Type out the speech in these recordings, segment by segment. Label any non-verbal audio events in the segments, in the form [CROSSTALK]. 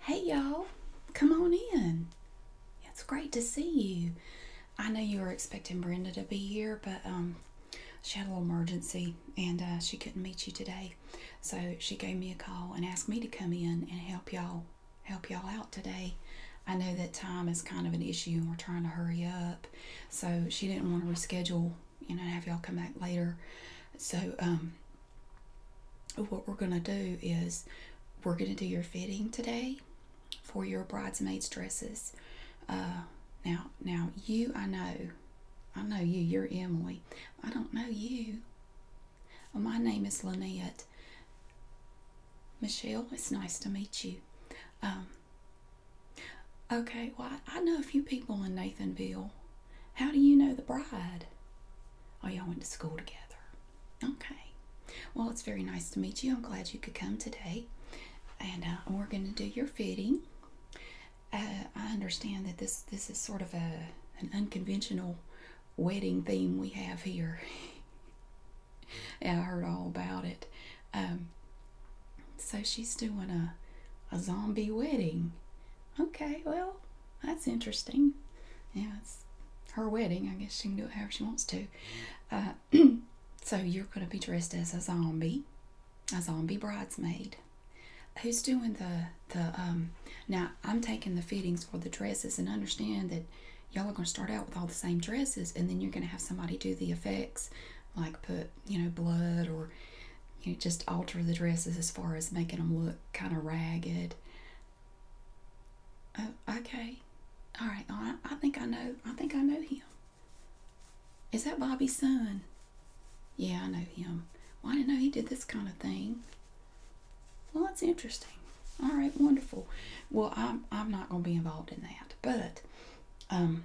Hey y'all, come on in. It's great to see you. I know you were expecting Brenda to be here, but um, she had a little emergency and uh, she couldn't meet you today. So she gave me a call and asked me to come in and help y'all help y'all out today. I know that time is kind of an issue and we're trying to hurry up. So she didn't want to reschedule, you know, have y'all come back later. So um, what we're going to do is we're going to do your fitting today for your bridesmaids dresses uh, now now you i know i know you you're emily i don't know you uh, my name is lynette michelle it's nice to meet you um, okay well i know a few people in nathanville how do you know the bride Oh, y'all went to school together. Okay. Well, it's very nice to meet you. I'm glad you could come today. And uh, we're going to do your fitting. Uh, I understand that this this is sort of a an unconventional wedding theme we have here. [LAUGHS] yeah, I heard all about it. Um, so she's doing a a zombie wedding. Okay, well, that's interesting. Yeah, it's her wedding. I guess she can do it however she wants to. Uh, [CLEARS THROAT] so you're going to be dressed as a zombie, a zombie bridesmaid. Who's doing the the um? Now I'm taking the fittings for the dresses, and understand that y'all are going to start out with all the same dresses, and then you're going to have somebody do the effects, like put you know blood or you know, just alter the dresses as far as making them look kind of ragged. Oh, okay. All right, I think I know. I think I know him. Is that Bobby's son? Yeah, I know him. Why didn't know he did this kind of thing. Well, that's interesting. All right, wonderful. Well, I'm I'm not going to be involved in that, but um,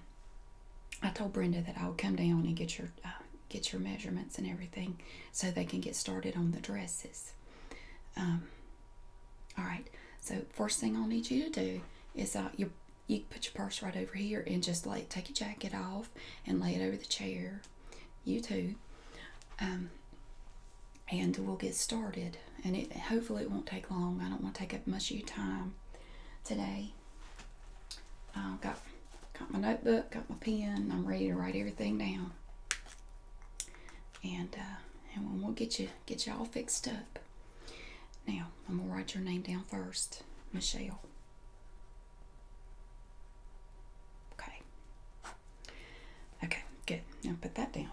I told Brenda that I would come down and get your uh, get your measurements and everything so they can get started on the dresses. Um, all right, so first thing I'll need you to do is uh, you put your purse right over here and just like take your jacket off and lay it over the chair. You too. Um, and we'll get started. And hopefully it won't take long. I don't want to take up much of your time today. I've got Got my notebook, got my pen. I'm ready to write everything down. And uh, and we'll get you get you all fixed up. Now I'm gonna write your name down first, Michelle. Okay. Okay, good. Now put that down.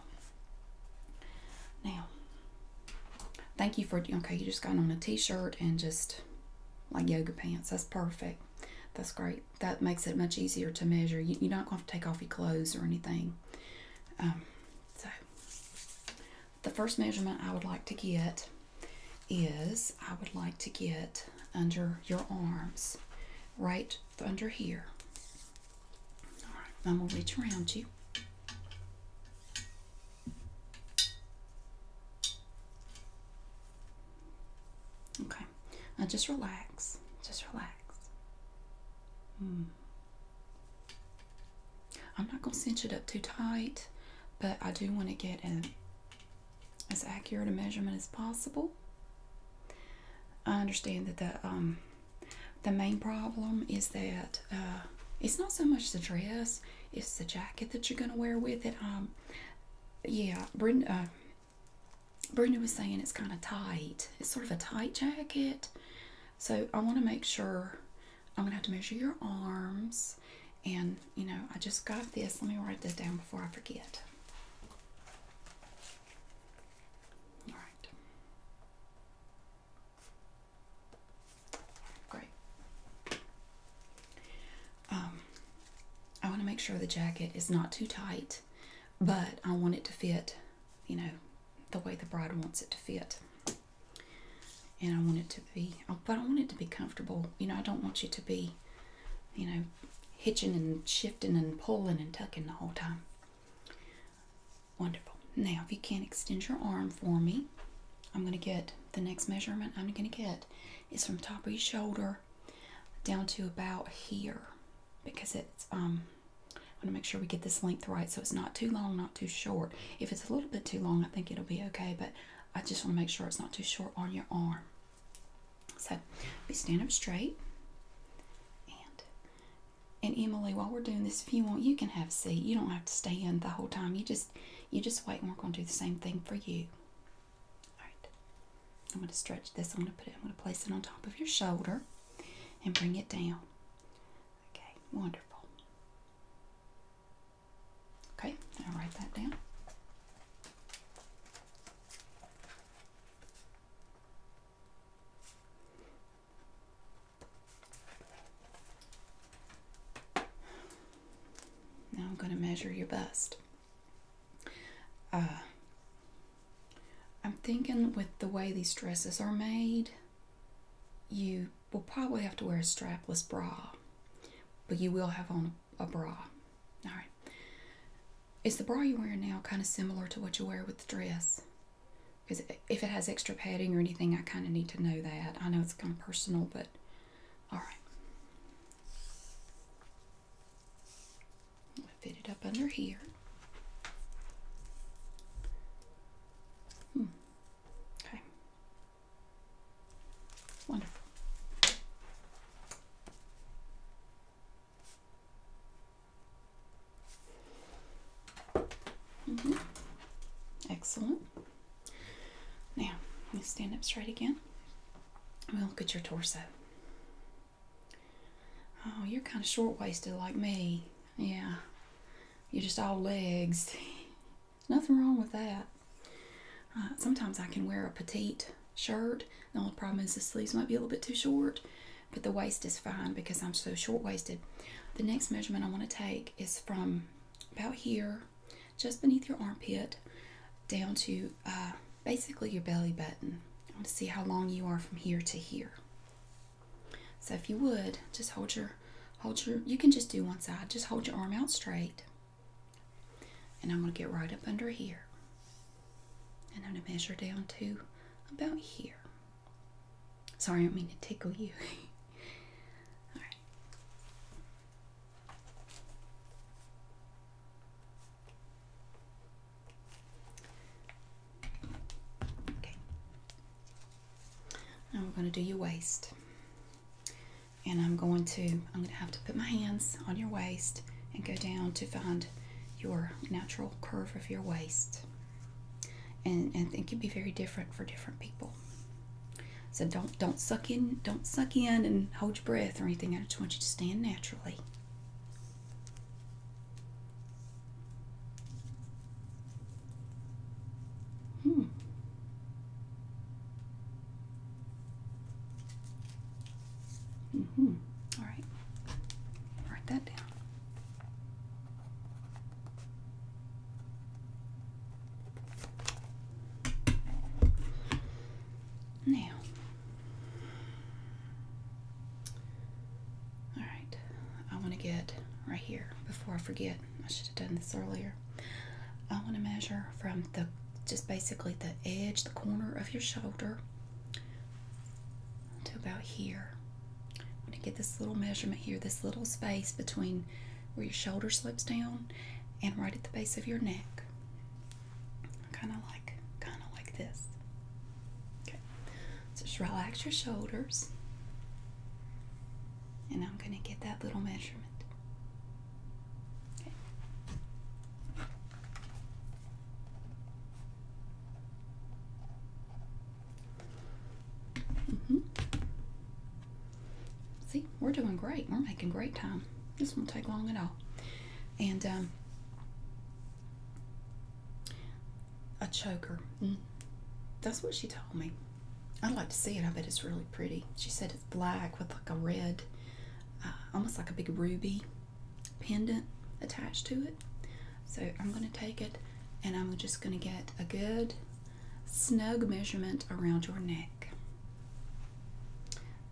Now, thank you for okay. You just got on a t-shirt and just like yoga pants. That's perfect. That's great. That makes it much easier to measure. You, are not going to, take off your clothes or anything. Um, so, the first measurement I would like to get is I would like to get under your arms, right under here. All right, I'm going to reach around you. Okay, now just relax. Just relax. Hmm. I'm not going to cinch it up too tight, but I do want to get a, as accurate a measurement as possible. I understand that the um, the main problem is that uh, it's not so much the dress; it's the jacket that you're going to wear with it. Um, yeah, Brenda, Brenda was saying it's kind of tight. It's sort of a tight jacket. So I want to make sure I'm going to have to measure your arms. And, you know, I just got this. Let me write this down before I forget. All right. Great. Um, I want to make sure the jacket is not too tight, but I want it to fit, you know, the way the bride wants it to fit. And I want it to be, oh, but I want it to be comfortable. You know, I don't want you to be, you know, hitching and shifting and pulling and tucking the whole time. Wonderful. Now, if you can't extend your arm for me, I'm going to get the next measurement I'm going to get is from top of your shoulder down to about here because it's um, I want to make sure we get this length right so it's not too long not too short if it's a little bit too long I think it'll be okay but I just want to make sure it's not too short on your arm so we stand up straight and and Emily while we're doing this if you want you can have a seat you don't have to stand the whole time you just you just wait and we're going to do the same thing for you Alright. I'm going to stretch this. I'm going to put it, I'm going to place it on top of your shoulder and bring it down. Okay, wonderful. Okay, i write that down. Now I'm going to measure your bust. Uh, I'm thinking with the way these dresses are made, you will probably have to wear a strapless bra, but you will have on a bra. All right. Is the bra you're wearing now kind of similar to what you wear with the dress? Because if it has extra padding or anything, I kind of need to know that. I know it's kind of personal, but all right fit it up under here. Hmm. Okay. Wonderful. Mm-hmm. Excellent. Now, you stand up straight again. I'm going to look at your torso. Oh, you're kind of short waisted like me. Yeah. You're just all legs. [LAUGHS] Nothing wrong with that. Uh, sometimes I can wear a petite shirt. The only problem is the sleeves might be a little bit too short, but the waist is fine because I'm so short waisted. The next measurement I want to take is from about here, just beneath your armpit, down to uh, basically your belly button. I want to see how long you are from here to here. So if you would, just hold your, hold your, you can just do one side. Just hold your arm out straight. And I'm going to get right up under here. And I'm going to measure down to about here. Sorry, I don't mean to tickle you. [LAUGHS] All right. Okay. Now we're going to do your waist. And I'm going to, I'm going to have to put my hands on your waist and go down to find your natural curve of your waist. And, and it can be very different for different people. So don't don't suck in, don't suck in and hold your breath or anything. I just want you to stand naturally. Hmm. Mm-hmm. All right. Write that down. Now, all right, I want to get right here before I forget. I should have done this earlier. I want to measure from the just basically the edge, the corner of your shoulder to about here. I'm going to get this little measurement here, this little space between where your shoulder slopes down and right at the base of your neck kind of like kind of like this. Okay, just relax your shoulders, and I'm gonna get that little measurement. Okay. hmm See, we're doing great. We're making great time. This won't take long at all. And um, a choker. Mm. That's what she told me. I'd like to see it. I bet it's really pretty. She said it's black with like a red, uh, almost like a big ruby pendant attached to it. So I'm going to take it and I'm just going to get a good snug measurement around your neck.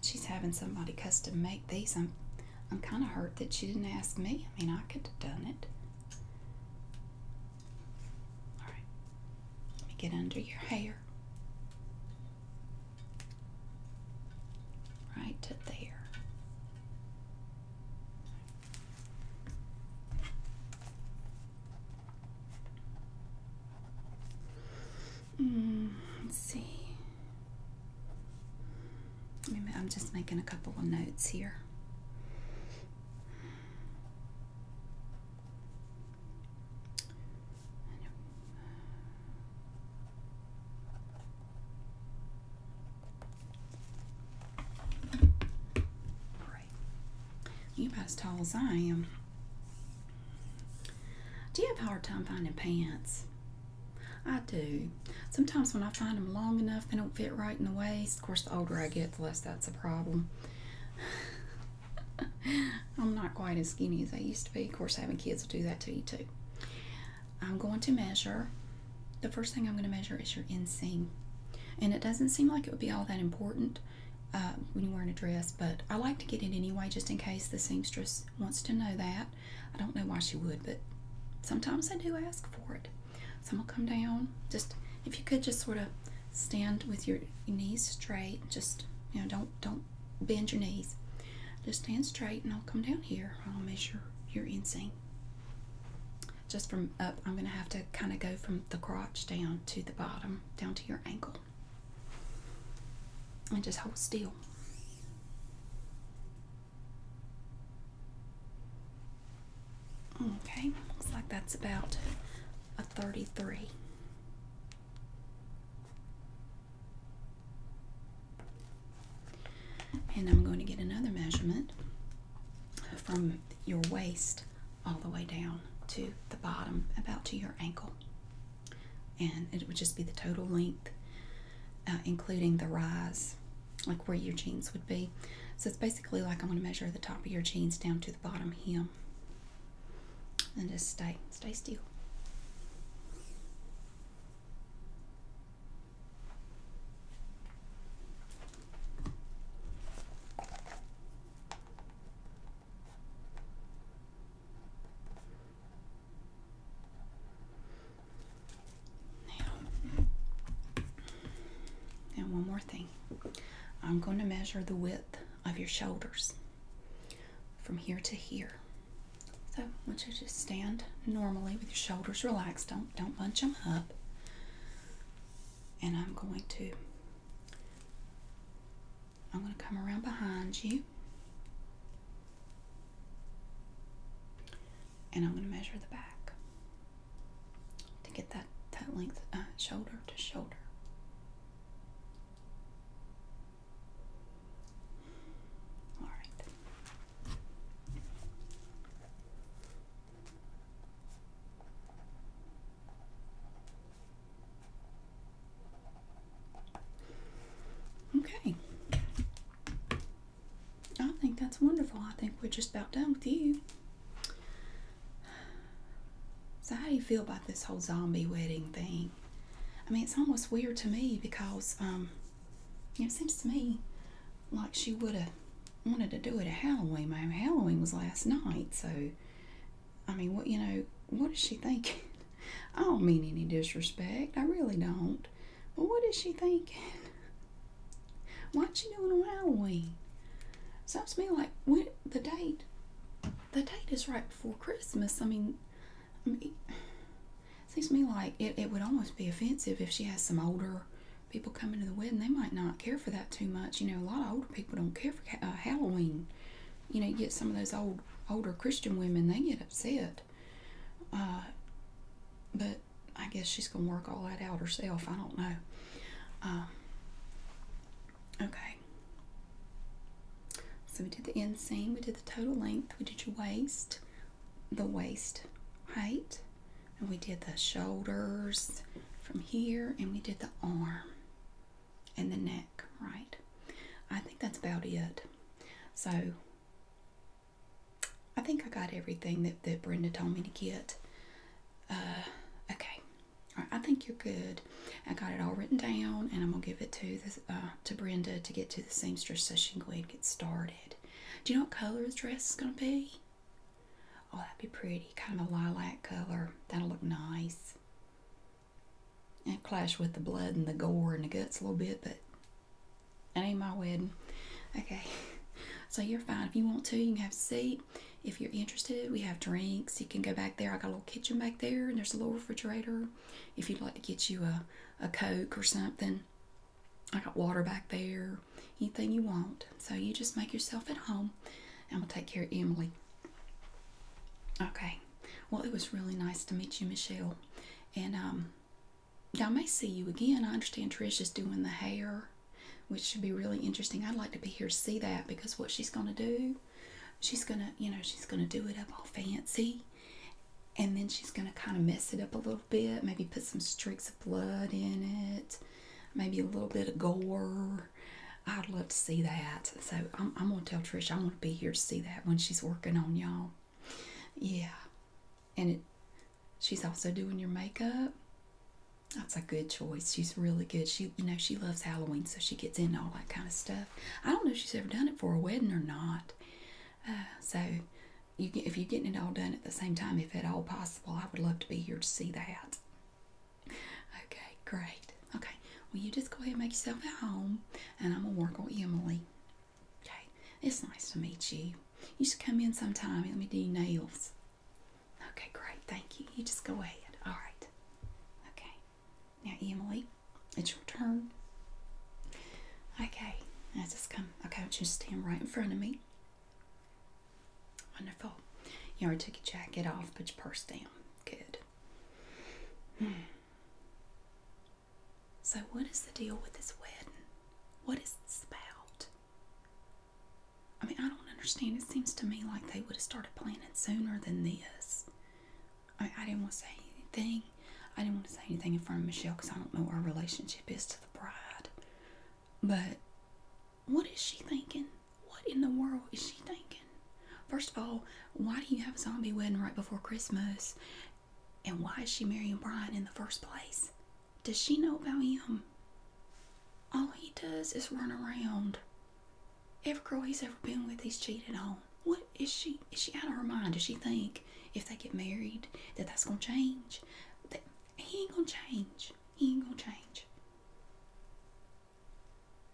She's having somebody custom make these. I'm kind of hurt that she didn't ask me. I mean, I could have done it. All right, let me get under your hair. Right to there. Mm, let's see. I'm just making a couple of notes here. Right. You about as tall as I am. Do you have a hard time finding pants? I do. Sometimes when I find them long enough, they don't fit right in the waist. Of course, the older I get, the less that's a problem. [LAUGHS] I'm not quite as skinny as I used to be. Of course, having kids will do that to you too. I'm going to measure. The first thing I'm going to measure is your inseam. And it doesn't seem like it would be all that important uh, when you're wearing a dress, but I like to get it anyway just in case the seamstress wants to know that. I don't know why she would, but sometimes I do ask for it. So I'm come down. Just if you could just sort of stand with your knees straight. Just you know, don't don't bend your knees. Just stand straight, and I'll come down here. I'll measure your inseam. Just from up, I'm gonna have to kind of go from the crotch down to the bottom, down to your ankle and just hold still. Okay, looks like that's about a 33. And I'm going to get another measurement from your waist all the way down to the bottom, about to your ankle and it would just be the total length, uh, including the rise, like where your jeans would be. So it's basically like I'm going to measure the top of your jeans down to the bottom hem, and just stay stay still. Now, one more thing. I'm going to measure the width of your shoulders from here to here. So I want you to just stand normally with your shoulders relaxed. Don't don't bunch them up. And I'm going to I'm going to come around behind you and I'm going to measure the back to get that, that length uh, shoulder to shoulder. All right. Okay, I think that's wonderful. I think we're just about done with you. So, how do you feel about this whole zombie wedding thing? I mean, it's almost weird to me because um, it seems to me like she would have wanted to do it at Halloween. I Halloween was last night, so I mean, what you know, what is she thinking? [LAUGHS] I don't mean any disrespect. I really don't. Well, what is she thinking? Why What's she doing on Halloween? Sounds to me like the date, the date is right before Christmas. I mean, I mean seems to me like it, it would almost be offensive if she has some older people coming to the wedding. They might not care for that too much. You know, a lot of older people don't care for uh, Halloween. You know, you get some of those old older Christian women, they get upset. Uh, but I guess she's going to work all that out herself. I don't know. Um, okay. So we did the inseam, we did the total length, we did your waist, the waist height, and we did the shoulders from here, and we did the arm and the neck, right? I think that's about it. So I think I got everything that, that Brenda told me to get. Uh, okay, right, I think you're good. I got it all written down, and I'm gonna give it to uh, to Brenda to get to the seamstress so she can go ahead and get started. Do you know what color the dress is gonna be? Oh, that'd be pretty, kind of a lilac color. That'll look nice. And clash with the blood and the gore and the guts a little bit, but that ain't my wedding. Okay. So you're fine. If you want to, you can have a seat. If you're interested, we have drinks. You can go back there. I got a little kitchen back there, and there's a little refrigerator. If you'd like to get you a, a Coke or something, I got water back there. Anything you want. So you just make yourself at home, and we'll take care of Emily. Okay. Well, it was really nice to meet you, Michelle. And um, I may see you again. I understand Trish is doing the hair, which should be really interesting. I'd like to be here to see that because what she's going to do, she's going to, you know, she's going to do it up all fancy. And then she's going to kind of mess it up a little bit, maybe put some streaks of blood in it, maybe a little bit of gore. I'd love to see that. So I'm, going to tell Trish I want to be here to see that when she's working on y'all. Yeah. And it, she's also doing your makeup. That's a good choice. She's really good. She, you know, she loves Halloween, so she gets in all that kind of stuff. I don't know if she's ever done it for a wedding or not. Uh, so, you if you're getting it all done at the same time, if at all possible, I would love to be here to see that. Okay, great. Okay, well, you just go ahead and make yourself at home, and I'm gonna work on Emily. Okay, it's nice to meet you. You should come in sometime. Let me do your nails. Okay, great. Thank you. You just go ahead. All right. Okay. Now, Emily, it's your turn. Okay. Now just come. Okay, I want you to stand right in front of me. Wonderful. You already took your jacket off. Put your purse down. Good. Hmm. So, what is the deal with this wedding? What is this about? I mean, I don't understand. It seems to me like they would have started planning sooner than this. I, didn't want to say anything. I didn't want to say anything in front of Michelle because I don't know what our relationship is to the bride. But what is she thinking? What in the world is she thinking? First of all, why do you have a zombie wedding right before Christmas? And why is she marrying Brian in the first place? Does she know about him? All he does is run around. Every girl he's ever been with, he's cheated on. What is she? Is she out of her mind? Does she think if they get married that that's gonna change? he ain't gonna change. He ain't gonna change.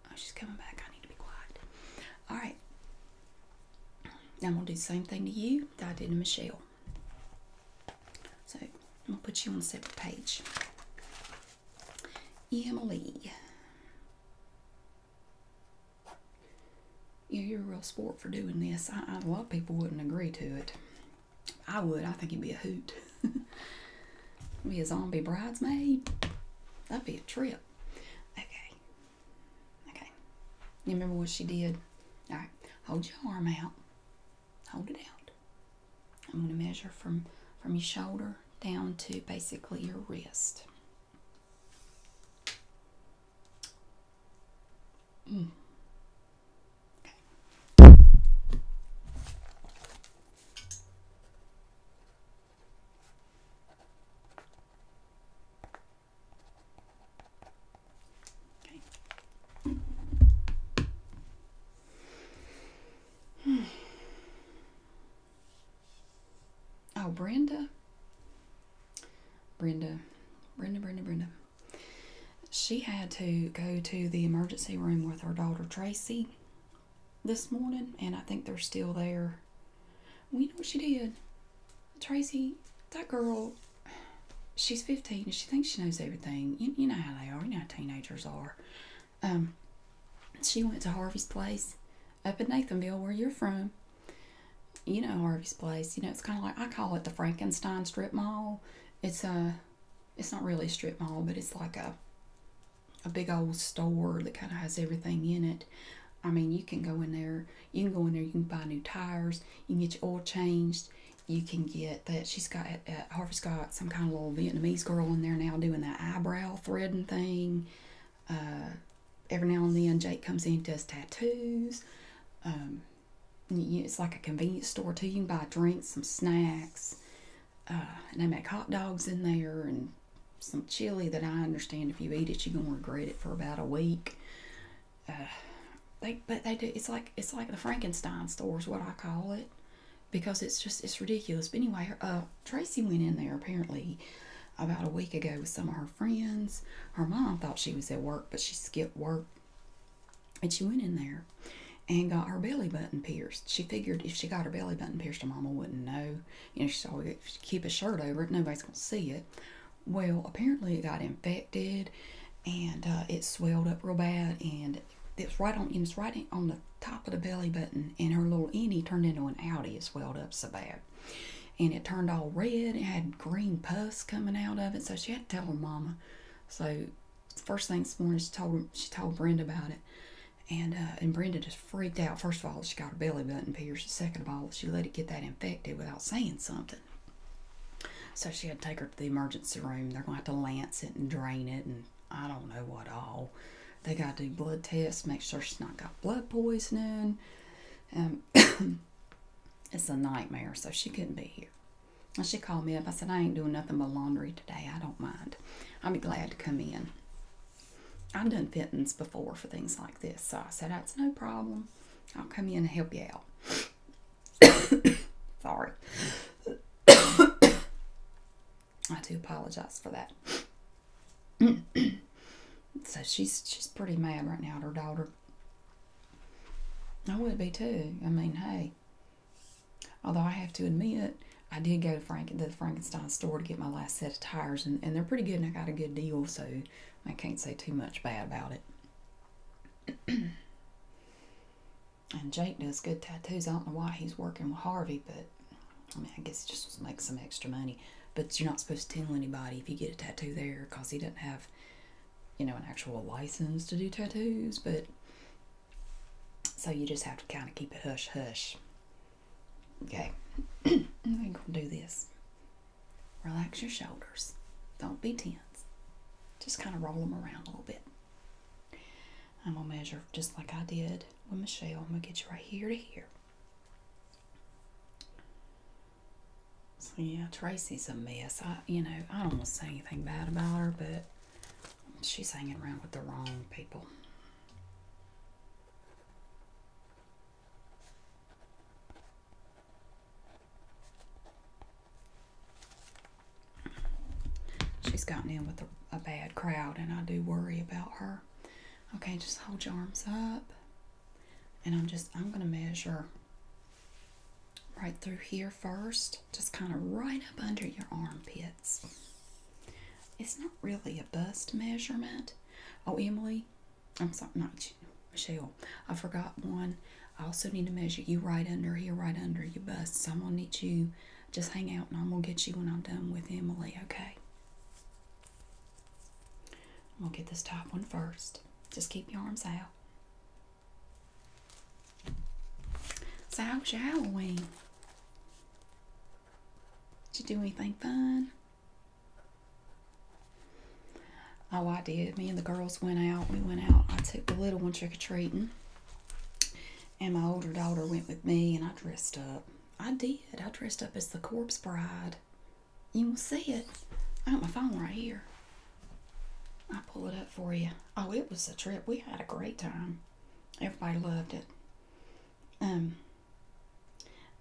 Oh, she's coming back. I need to be quiet. All right. I'm going to do the same thing to you that I did to Michelle. So I'm going to put you on a separate page. Emily. you're a real sport for doing this. A lot of people wouldn't agree to it. I would. I think it'd be a hoot. [LAUGHS] be a zombie bridesmaid. That'd be a trip. Okay, Okay. You remember what she did? All right. Hold your arm out. Hold it out. I'm going to measure from, from your shoulder down to basically your wrist. Mm. [SIGHS] Oh, Brenda. Brenda. Brenda, Brenda, Brenda. She had to go to the emergency room with her daughter Tracy this morning, and I think they're still there we know what she did. Tracy, that girl, she's 15 and she thinks she knows everything. You, know how they are, you know how teenagers are. Um, she went to Harvey's place up in Nathanville, where you're from. You know Harvey's place. You know, it's kind of like, I call it the Frankenstein strip mall. It's a, it's not really a strip mall, but it's like a, a big old store that kind of has everything in it. I mean, you can go in there you can go in there, you can buy new tires, you can get your oil changed, you can get that. She's got, uh, uh Harvey's got some kind of little Vietnamese girl in there now doing that eyebrow threading thing. Uh, every now and then, Jake comes in and does tattoos. Um, it's like a convenience store too. You can buy drinks, some snacks, uh, and they make hot dogs in there and some chili that I understand if you eat it, you're going to regret it for about a week. Uh, they but they do. It's like it's like the Frankenstein store is what I call it because it's just it's ridiculous. But anyway, uh, Tracy went in there apparently about a week ago with some of her friends. Her mom thought she was at work, but she skipped work, and she went in there and got her belly button pierced. She figured if she got her belly button pierced, her mama wouldn't know. You know, she'd always keep a shirt over it. Nobody's gonna see it. Well, apparently it got infected and uh, it swelled up real bad and it's right on it's right on the top of the belly button and her little innie turned into an outie. It swelled up so bad. And it turned all red. It had green pus coming out of it. So she had to tell her mama. So first thing this morning she told she told Brenda about it. And uh, and Brenda just freaked out. First of all, she got her belly button pierced. Second of all, she let it get that infected without saying something. So she had to take her to the emergency room. They're going to have to lance it and drain it and I don't know what all. They got to do blood tests, make sure she's not got blood poisoning. Um, [COUGHS] it's a nightmare, so she couldn't be here. And she called me up. I said, I ain't doing nothing but laundry today. I don't mind. I'll be glad to come in. I've done fittings before for things like this, so I said, that's no problem. I'll come in and help you out. [COUGHS] Sorry. [COUGHS] I do apologize for that. [COUGHS] so she's she's pretty mad right now at her daughter. I would be too. I mean, hey. Although I have to admit, I did go to Frank the Frankenstein store to get my last set of tires, and, and they're pretty good, and I got a good deal. So I can't say too much bad about it. [CLEARS THROAT] and Jake does good tattoos. I don't know why he's working with Harvey, but I mean, I guess it just make some extra money. But you're not supposed to tell anybody if you get a tattoo there because he doesn't have, you know, an actual license to do tattoos. But so you just have to kind of keep it hush hush. Okay, [CLEARS THROAT] I think going will do this. Relax your shoulders. Don't be tense. Just kind of roll them around a little bit. I'm going to measure just like I did with Michelle. I'm going to get you right here to here. yeah, Tracy's a mess. I, you know, I don't want to say anything bad about her, but she's hanging around with the wrong people. She's gotten in with a, bad crowd, and I do worry about her. Okay, just hold your arms up. And I'm just, I'm going to measure right through here first. Just kind of right up under your armpits. It's not really a bust measurement. Oh, Emily, I'm sorry, not you, Michelle. I forgot one. I also need to measure you right under here, right under your bust. So I'm gonna need you just hang out and I'm gonna get you when I'm done with Emily, okay? I'm gonna get this top one first. Just keep your arms out. So how was your Halloween? Did you do anything fun? Oh, I did. Me and the girls went out. We went out. I took the little one trick or treating, and my older daughter went with me, and I dressed up. I did. I dressed up as the corpse bride. You will see it. I got my phone right here. I'll pull it up for you. Oh, it was a trip. We had a great time. Everybody loved it. Um,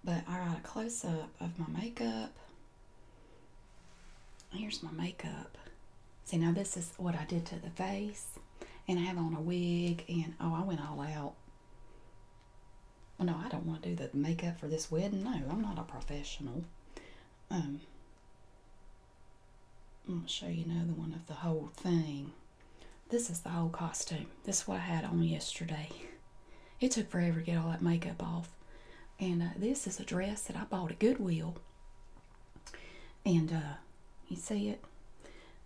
but I got a close up of my makeup Here's my makeup. See, now this is what I did to the face. And I have on a wig. And, oh, I went all out. Well, no, I don't want to do the makeup for this wedding. No, I'm not a professional. Um, I'm going to show you another one of the whole thing. This is the whole costume. This is what I had on yesterday. [LAUGHS] It took forever to get all that makeup off. And uh, this is a dress that I bought at Goodwill. And uh, you see it?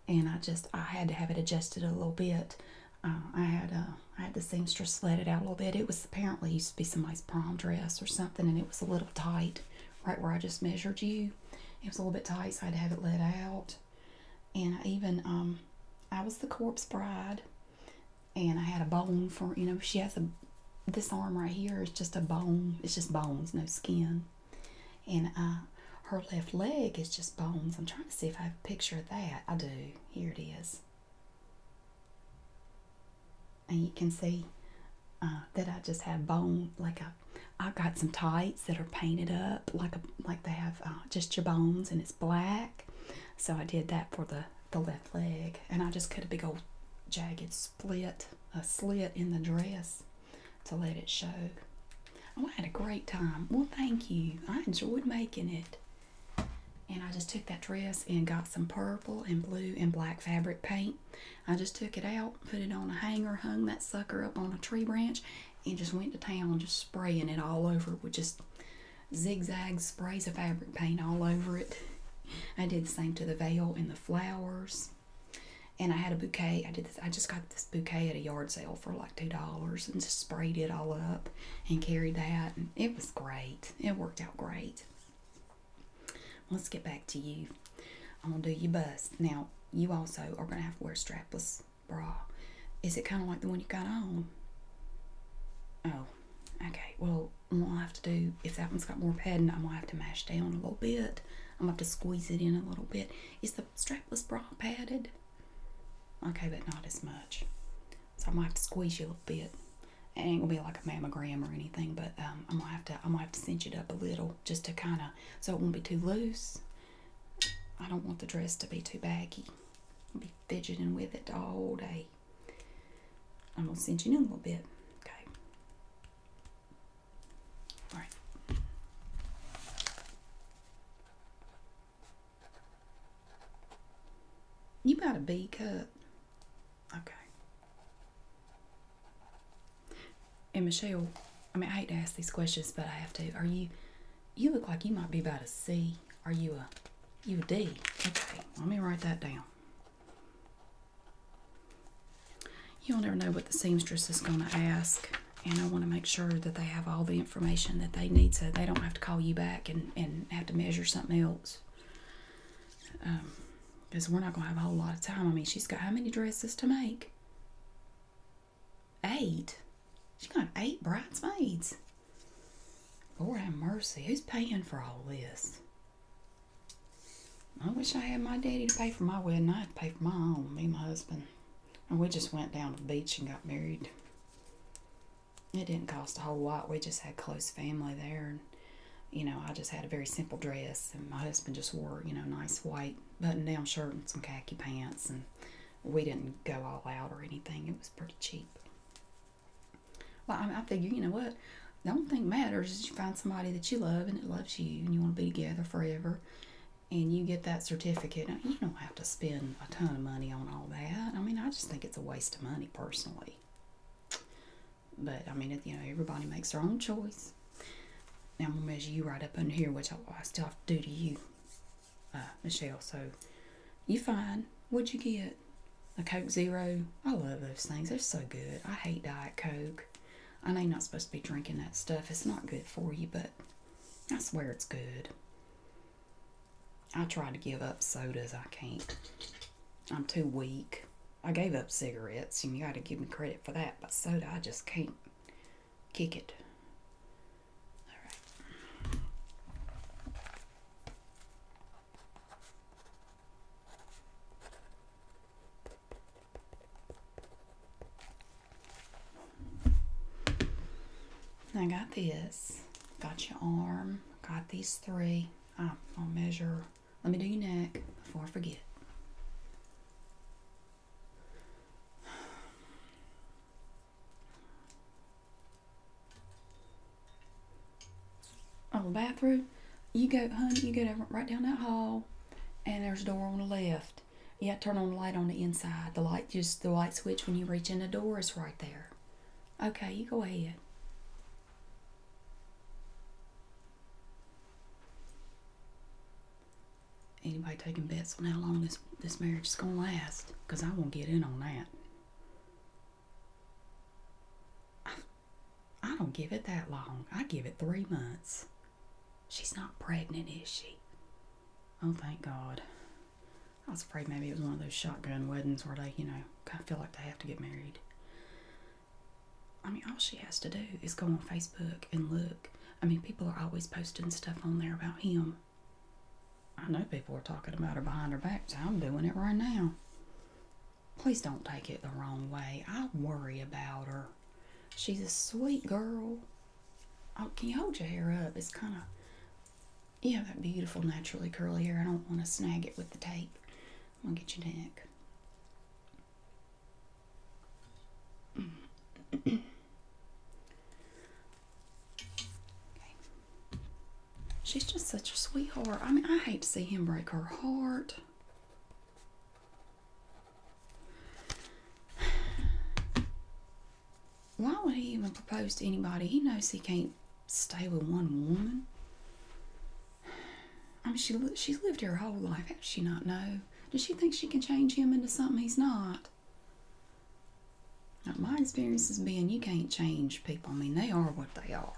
And I just, I had to have it adjusted a little bit. Uh, I had I had the seamstress let it out a little bit. It was apparently used to be somebody's prom dress or something, and it was a little tight, right where I just measured you. It was a little bit tight, so I had to have it let out. And I even um, I was the corpse bride, and I had a bone for you know she has a this arm right here is just a bone it's just bones no skin and uh, her left leg is just bones I'm trying to see if I have a picture of that I do here it is and you can see uh, that I just have bone like a I got some tights that are painted up like a like they have uh, just your bones and it's black so I did that for the the left leg, and I just cut a big old jagged split, a slit in the dress to let it show. Oh, I had a great time. Well, thank you. I enjoyed making it. And I just took that dress and got some purple and blue and black fabric paint. I just took it out, put it on a hanger, hung that sucker up on a tree branch, and just went to town just spraying it all over with just zigzag sprays of fabric paint all over it. I did the same to the veil and the flowers. And I had a bouquet. I did this. I just got this bouquet at a yard sale for like two dollars, and just sprayed it all up and carried that. And it was great. It worked out great. Let's get back to you. I'm gonna do your bust now. You also are gonna have to wear a strapless bra. Is it kind of like the one you got on? Oh, Okay, well, what I have to do, if that one's got more padding, I'm gonna have to mash down a little bit. I'm gonna have to squeeze it in a little bit. Is the strapless bra padded? Okay, but not as much. So i might have to squeeze you a little bit. It ain't gonna be like a mammogram or anything, but I'm um, gonna have to I'm gonna have to cinch it up a little just to kind of so it won't be too loose. I don't want the dress to be too baggy. I'll be fidgeting with it all day. I'm gonna cinch it in a little bit. Okay. All right. You got a B cup. Okay. And Michelle, I mean I hate to ask these questions, but I have to. Are you you look like you might be about a C. Are you a UD? Okay, let me write that down. You'll never know what the seamstress is going to ask, and I want to make sure that they have all the information that they need so they don't have to call you back and, and have to measure something else. Because um, we're not going to have a whole lot of time. I mean, she's got how many dresses to make? Eight. She's got eight bridesmaids. Lord have mercy. Who's paying for all this? I wish I had my daddy to pay for my wedding. I had to pay for my own, me my husband. And we just went down to the beach and got married. It didn't cost a whole lot. We just had close family there. And, you know, I just had a very simple dress. And my husband just wore, you know, nice white button-down shirt and some khaki pants. And we didn't go all out or anything. It was pretty cheap. Well, I, mean, I figure, you know what? The only thing matters is you find somebody that you love and it loves you and you want to be together forever and you get that certificate. Now, you don't have to spend a ton of money on all that. I mean, I just think it's a waste of money personally. But I mean, you know, everybody makes their own choice. Now I'm gonna measure you right up under here, which I, I still have to do to you, uh, Michelle. So you fine? What'd you get? A Coke Zero. I love those things. They're so good. I hate Diet Coke. I know you're not supposed to be drinking that stuff. It's not good for you, but I swear it's good. I try to give up sodas. I can't. I'm too weak. I gave up cigarettes, and you got to give me credit for that. But soda, I just can't kick it. All right. I got this. Got your arm. Got these three. I'll measure. Let me do your neck before I forget on the bathroom, you go, honey, you go right down that hall, and there's a door on the left. Yeah, turn on the light on the inside. The light, just the light switch when you reach in the door is right there. Okay, you go ahead. Anybody taking bets on how long this, this marriage is going to last? Because I won't get in on that. I, I don't give it that long. I give it three months. She's not pregnant, is she? Oh, thank God. I was afraid maybe it was one of those shotgun weddings where they, you know, kind of feel like they have to get married. I mean, all she has to do is go on Facebook and look. I mean, people are always posting stuff on there about him. I know people are talking about her behind her back, so I'm doing it right now. Please don't take it the wrong way. I worry about her. She's a sweet girl. Oh, can you hold your hair up? It's kind of, you have that beautiful naturally curly hair. I don't want to snag it with the tape. I'm going to get your neck. [CLEARS THROAT] She's just such a sweetheart. I mean, I hate to see him break her heart. Why would he even propose to anybody? He knows he can't stay with one woman. I mean, she she's lived her whole life. How does she not know? Does she think she can change him into something he's not? my experience has been you can't change people. I mean, they are what they are.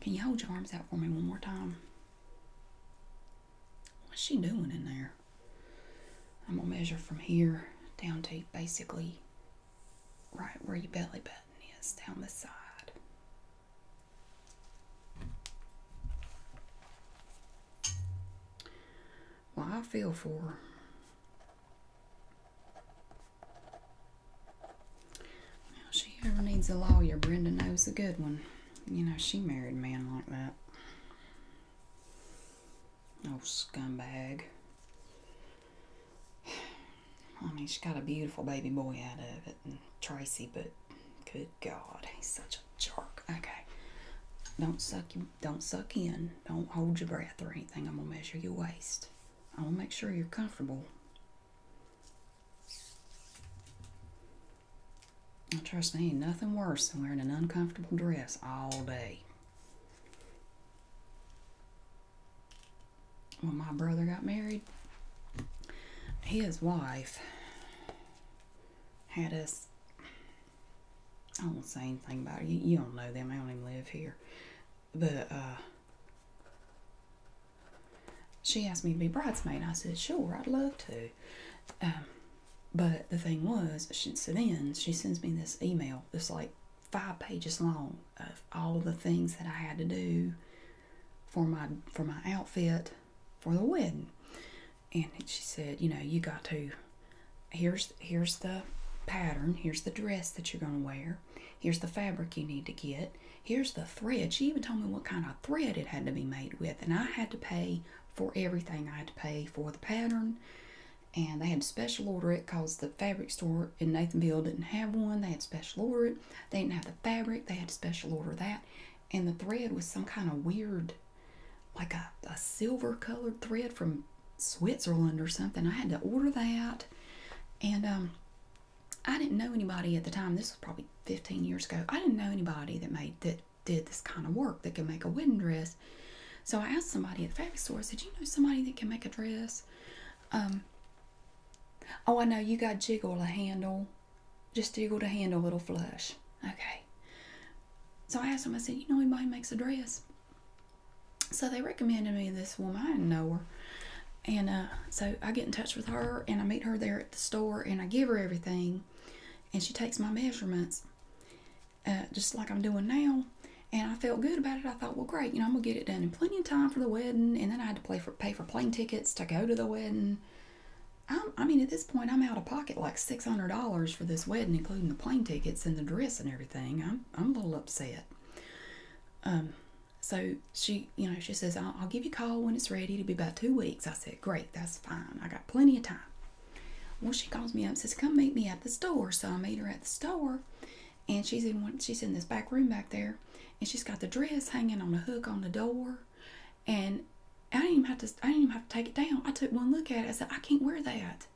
Can you hold your arms out for me one more time? What's she doing in there? I'm going to measure from here down to basically right where your belly button is, down the side. Well, I feel for her. Now, she ever needs a lawyer, Brenda knows a good one. You know, she married a man like that. Oh, scumbag. [SIGHS] I mean, she got a beautiful baby boy out of it, and Tracy, but good God, he's such a jerk. Okay. Don't suck you don't suck in. Don't hold your breath or anything. I'm gonna measure your waist. I'll make sure you're comfortable. trust me, nothing worse than wearing an uncomfortable dress all day. When my brother got married, his wife had us. I do not say anything about it. You, you don't know them. I don't even live here. But uh, she asked me to be bridesmaid. I said, sure, I'd love to. Um, but the thing was, since then she sends me this email it's like five pages long of all the things that I had to do for my for my outfit for the wedding. And she said, you know, you got to here's here's the pattern, here's the dress that you're gonna wear. Here's the fabric you need to get. Here's the thread. She even told me what kind of thread it had to be made with, and I had to pay for everything. I had to pay for the pattern, and they had to special order it because the fabric store in Nathanville didn't have one. They had special order it. They didn't have the fabric. They had to special order that, and the thread was some kind of weird, like a silver colored thread from Switzerland or something. I had to order that, and um, I didn't know anybody at the time. This was probably 15 years ago. I didn't know anybody that made that did this kind of work that could make a wedding dress. So I asked somebody at the fabric store. I said, "You know somebody that can make a dress?" Um, oh, I know. You got jiggle a handle. Just jiggle the handle. a little flush. Okay. So I asked him. I said, "You know anybody makes a dress?" so they recommended me this woman. I didn't know her. And uh, so I get in touch with her and I meet her there at the store and I give her everything. And she takes my measurements uh, just like I'm doing now. And I felt good about it. I thought, well, great, you know, I'm going to get it done in plenty of time for the wedding. And then I had to pay for plane tickets to go to the wedding. i mean, at this point, I'm out of pocket like $600 for this wedding, including the plane tickets and the dress and everything. I'm a little upset. Um, so she, you know, she says, I'll, give you a call when it's ready. It'll be about two weeks. I said, Great, that's fine. I got plenty of time. Well, she calls me up and says, Come meet me at the store. So I meet her at the store and she's in one, she's in this back room back there, and she's got the dress hanging on a hook on the door, and I didn't even have to I didn't even have to take it down. I took one look at it. I said I can't wear that.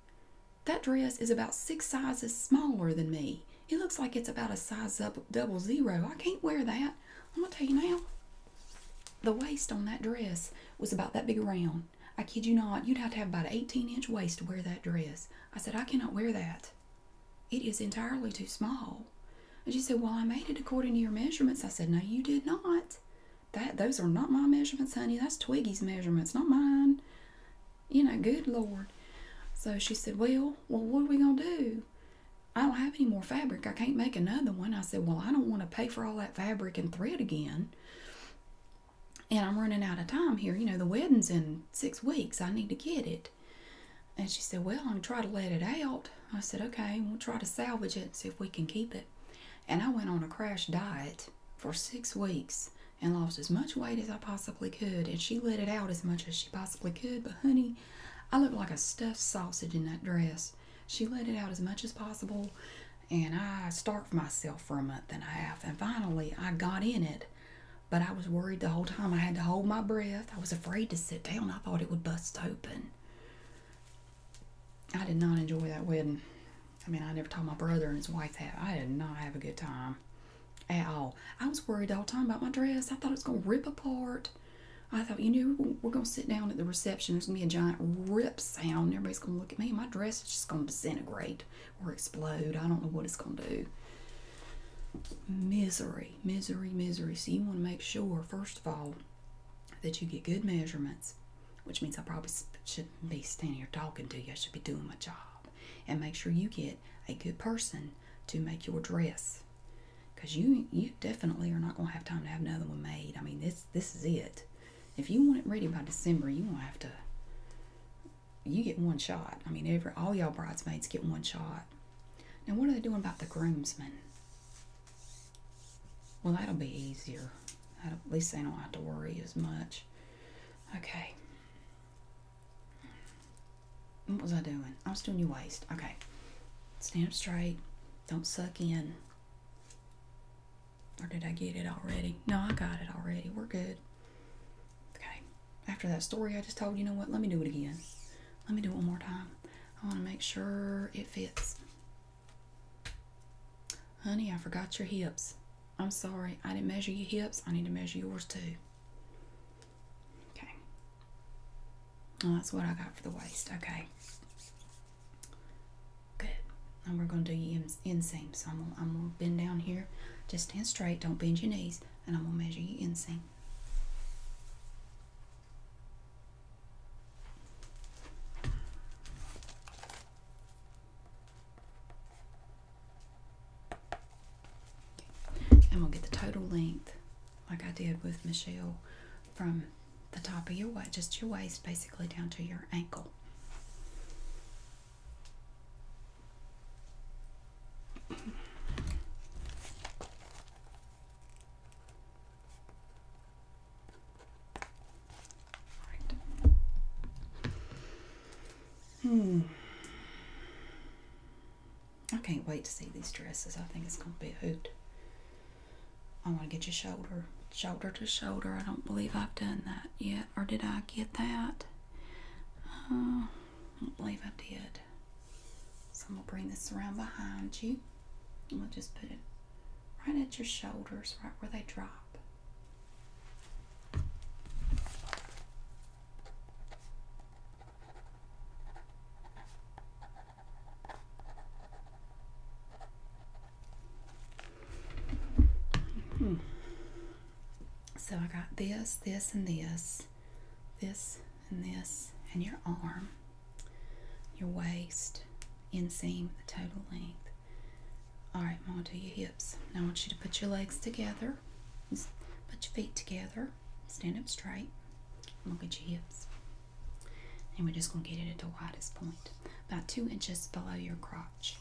That dress is about six sizes smaller than me. It looks like it's about a size up double zero. I can't wear that. I'm going to tell you now. The waist on that dress was about that big around. I kid you not, you'd have to have about an 18 inch waist to wear that dress. I said, I cannot wear that. It is entirely too small. And she said, Well, I made it according to your measurements. I said, No, you did not. That those are not my measurements, honey. That's Twiggy's measurements, not mine. You know, good Lord. So she said, Well, well, what are we going to do? I don't have any more fabric. I can't make another one. I said, Well, I don't want to pay for all that fabric and thread again. And I'm running out of time here. You know, the wedding's in six weeks. I need to get it. And she said, Well, I'm going to try to let it out. I said, Okay, we'll try to salvage it and see if we can keep it. And I went on a crash diet for six weeks and lost as much weight as I possibly could, and she let it out as much as she possibly could. But, honey, I looked like a stuffed sausage in that dress. She let it out as much as possible, and I starved myself for a month and a half. And finally, I got in it, but I was worried the whole time. I had to hold my breath. I was afraid to sit down. I thought it would bust open. I did not enjoy that wedding. I mean, I never told my brother and his wife that. I did not have a good time at all. I was worried all the time about my dress. I thought it was going to rip apart. I thought, you know, we're going to sit down at the reception. There's going to be a giant rip sound. everybody's going to look at me. My dress is just going to disintegrate or explode. I don't know what it's going to do. Misery, misery, misery. So you want to make sure, first of all, that you get good measurements, which means I probably shouldn't be standing here talking to you. I should be doing my job and make sure you get a good person to make your dress because you you definitely are not going to have time to have another one made i mean this this is it if you want it ready by december you gonna have to you get one shot i mean every all y'all bridesmaids get one shot now what are they doing about the groomsmen well that'll be easier at least they don't have to worry as much okay what was I doing? I was doing your waist. Okay. Stand up straight. Don't suck in. Or did I get it already? No, I got it already. We're good. Okay. After that story I just told, you know what? Let me do it again. Let me do it one more time. I want to make sure it fits. Honey, I forgot your hips. I'm sorry, I didn't measure your hips. I need to measure yours too. Okay. Well, that's what I got for the waist. Okay. Good. And we're going to do your inseam. So I'm going I'm going to bend down here. Just stand straight. Don't bend your knees. And I'm going to measure your inseam. And we'll get the total length, like I did with Michelle, from the top of your waist, just your waist basically down to your ankle. Hmm. I can't wait to see these dresses. I think it's going to be a hoot. I want to get your shoulder, shoulder to shoulder. I don't believe I've done that yet. Or did I get that? Uh, I don't believe I did. So I'm going to bring this around behind you. And we'll just put it right at your shoulders, right where they drop. So I got this, this, and this, this, and this, and your arm, your waist, inseam, the total length. All right, I'm gonna do your hips. I want you to put your legs together. Put your feet together. Stand up straight. Look at your hips. And we're just going to get it at the widest point. About two inches below your crotch.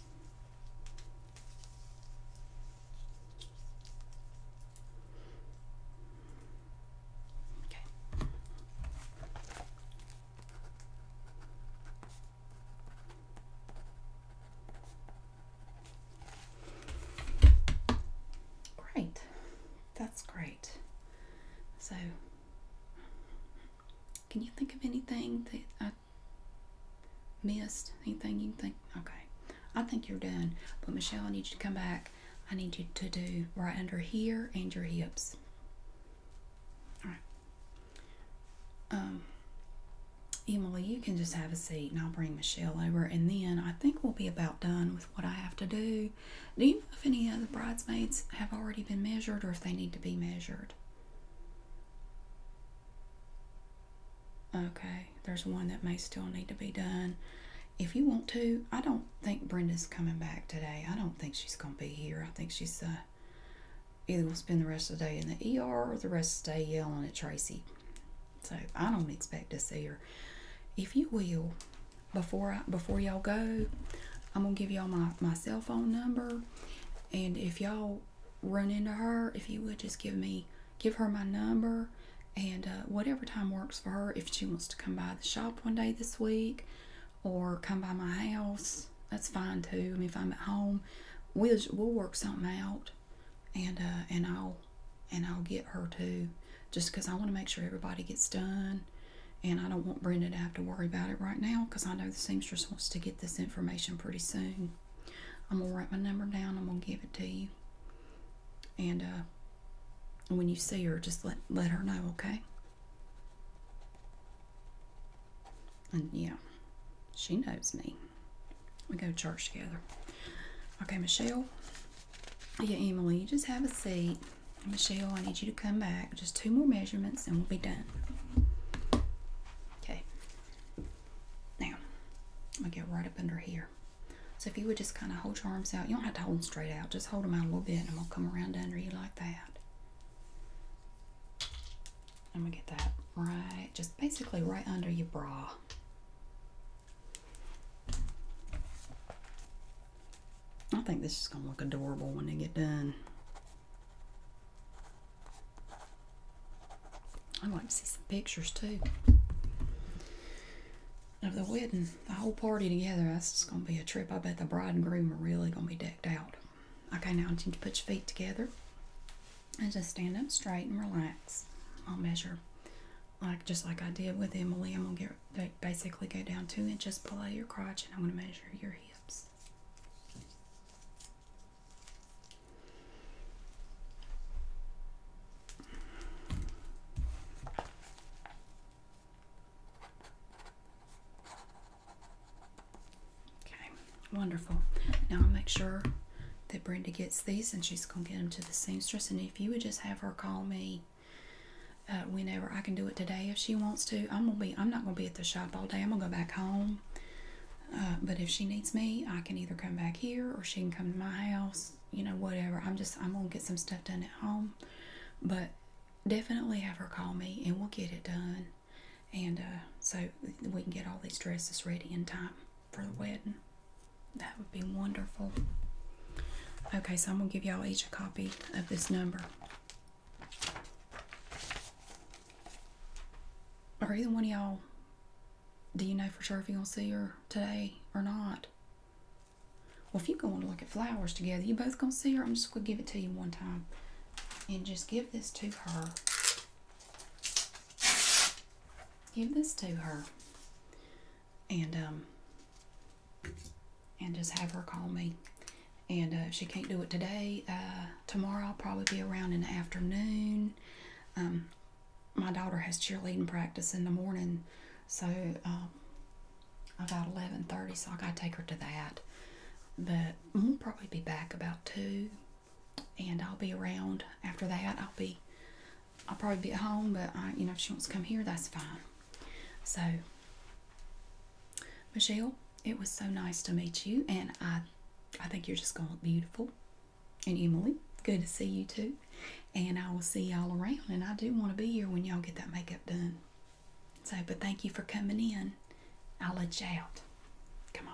Great. That's great. So, can you think of anything that I missed? Anything you think? Okay. I think you're done. But Michelle, I need you to come back. I need you to do right under here and your hips. All right. Um, Emily, you can just have a seat and I'll bring Michelle over, and then I think we'll be about done with what I have to do. Do you know if any of the bridesmaids have already been measured or if they need to be measured? Okay, there's one that may still need to be done. If you want to, I don't think Brenda's coming back today. I don't think she's going to be here. I think she's uh, either will spend the rest of the day in the ER or the rest of the day yelling at Tracy. So I don't expect to see her. If you will, before I, before y'all go, I'm gonna give y'all my my cell phone number, and if y'all run into her, if you would just give me give her my number, and uh, whatever time works for her. If she wants to come by the shop one day this week, or come by my house, that's fine too. I mean, if I'm at home, we'll we'll work something out and uh, and I'll and I'll get her too, just because I want to make sure everybody gets done, and I don't want Brenda to have to worry about it right now because I know the seamstress wants to get this information pretty soon. I'm gonna write my number down. I'm gonna give it to you, and uh, when you see her, just let let her know, okay? And yeah, she knows me. We go to church together. Okay, Michelle. Yeah, Emily, you just have a seat. Michelle, I need you to come back. Just two more measurements and we'll be done. Okay. Now, I'm going to get right up under here. So if you would just kind of hold your arms out. You don't have to hold them straight out. Just hold them out a little bit and i will come around under you like that. I'm going to get that right, just basically right under your bra. I think this is going to look adorable when they get done. I'd like to see some pictures too of the wedding, the whole party together. That's just going to be a trip. I bet the bride and groom are really going to be decked out. Okay, now I need you to put your feet together and just stand up straight and relax. I'll measure like just like I did with Emily. I'm gonna get basically go down two inches pull out your crotch, and I'm gonna measure your hips. Okay, wonderful. Now I'll make sure that Brenda gets these and she's going to get them to the seamstress. And if you would just have her call me uh, whenever I can do it today if she wants to, I'm gonna be I'm not gonna be at the shop all day. I'm gonna go back home. Uh, but if she needs me, I can either come back here or she can come to my house. You know, whatever. I'm just I'm gonna get some stuff done at home. But definitely have her call me and we'll get it done. And uh, so we can get all these dresses ready in time for the wedding. That would be wonderful. Okay, so I'm going to give y'all each a copy of this number. Are either one of y'all, do you know for sure if you're going to see her today or not? Well, if you're going to look at flowers together, you both going to see her. I'm just going to give it to you one time. And just give this to her give this to her and um and just have her call me and uh, she can't do it today uh, tomorrow i'll probably be around in the afternoon um, my daughter has cheerleading practice in the morning so um, about 11.30 so i gotta take her to that but we'll probably be back about 2 and I'll be around after that. I'll be, I'll probably be at home, but you know, if she wants to come here, that's fine. So, Michelle, it was so nice to meet you, and I, I think you're just gonna look beautiful. And Emily, good to see you too. And I will see y'all around, and I do want to be here when y'all get that makeup done. So, but thank you for coming in. I'll let you out. Come on.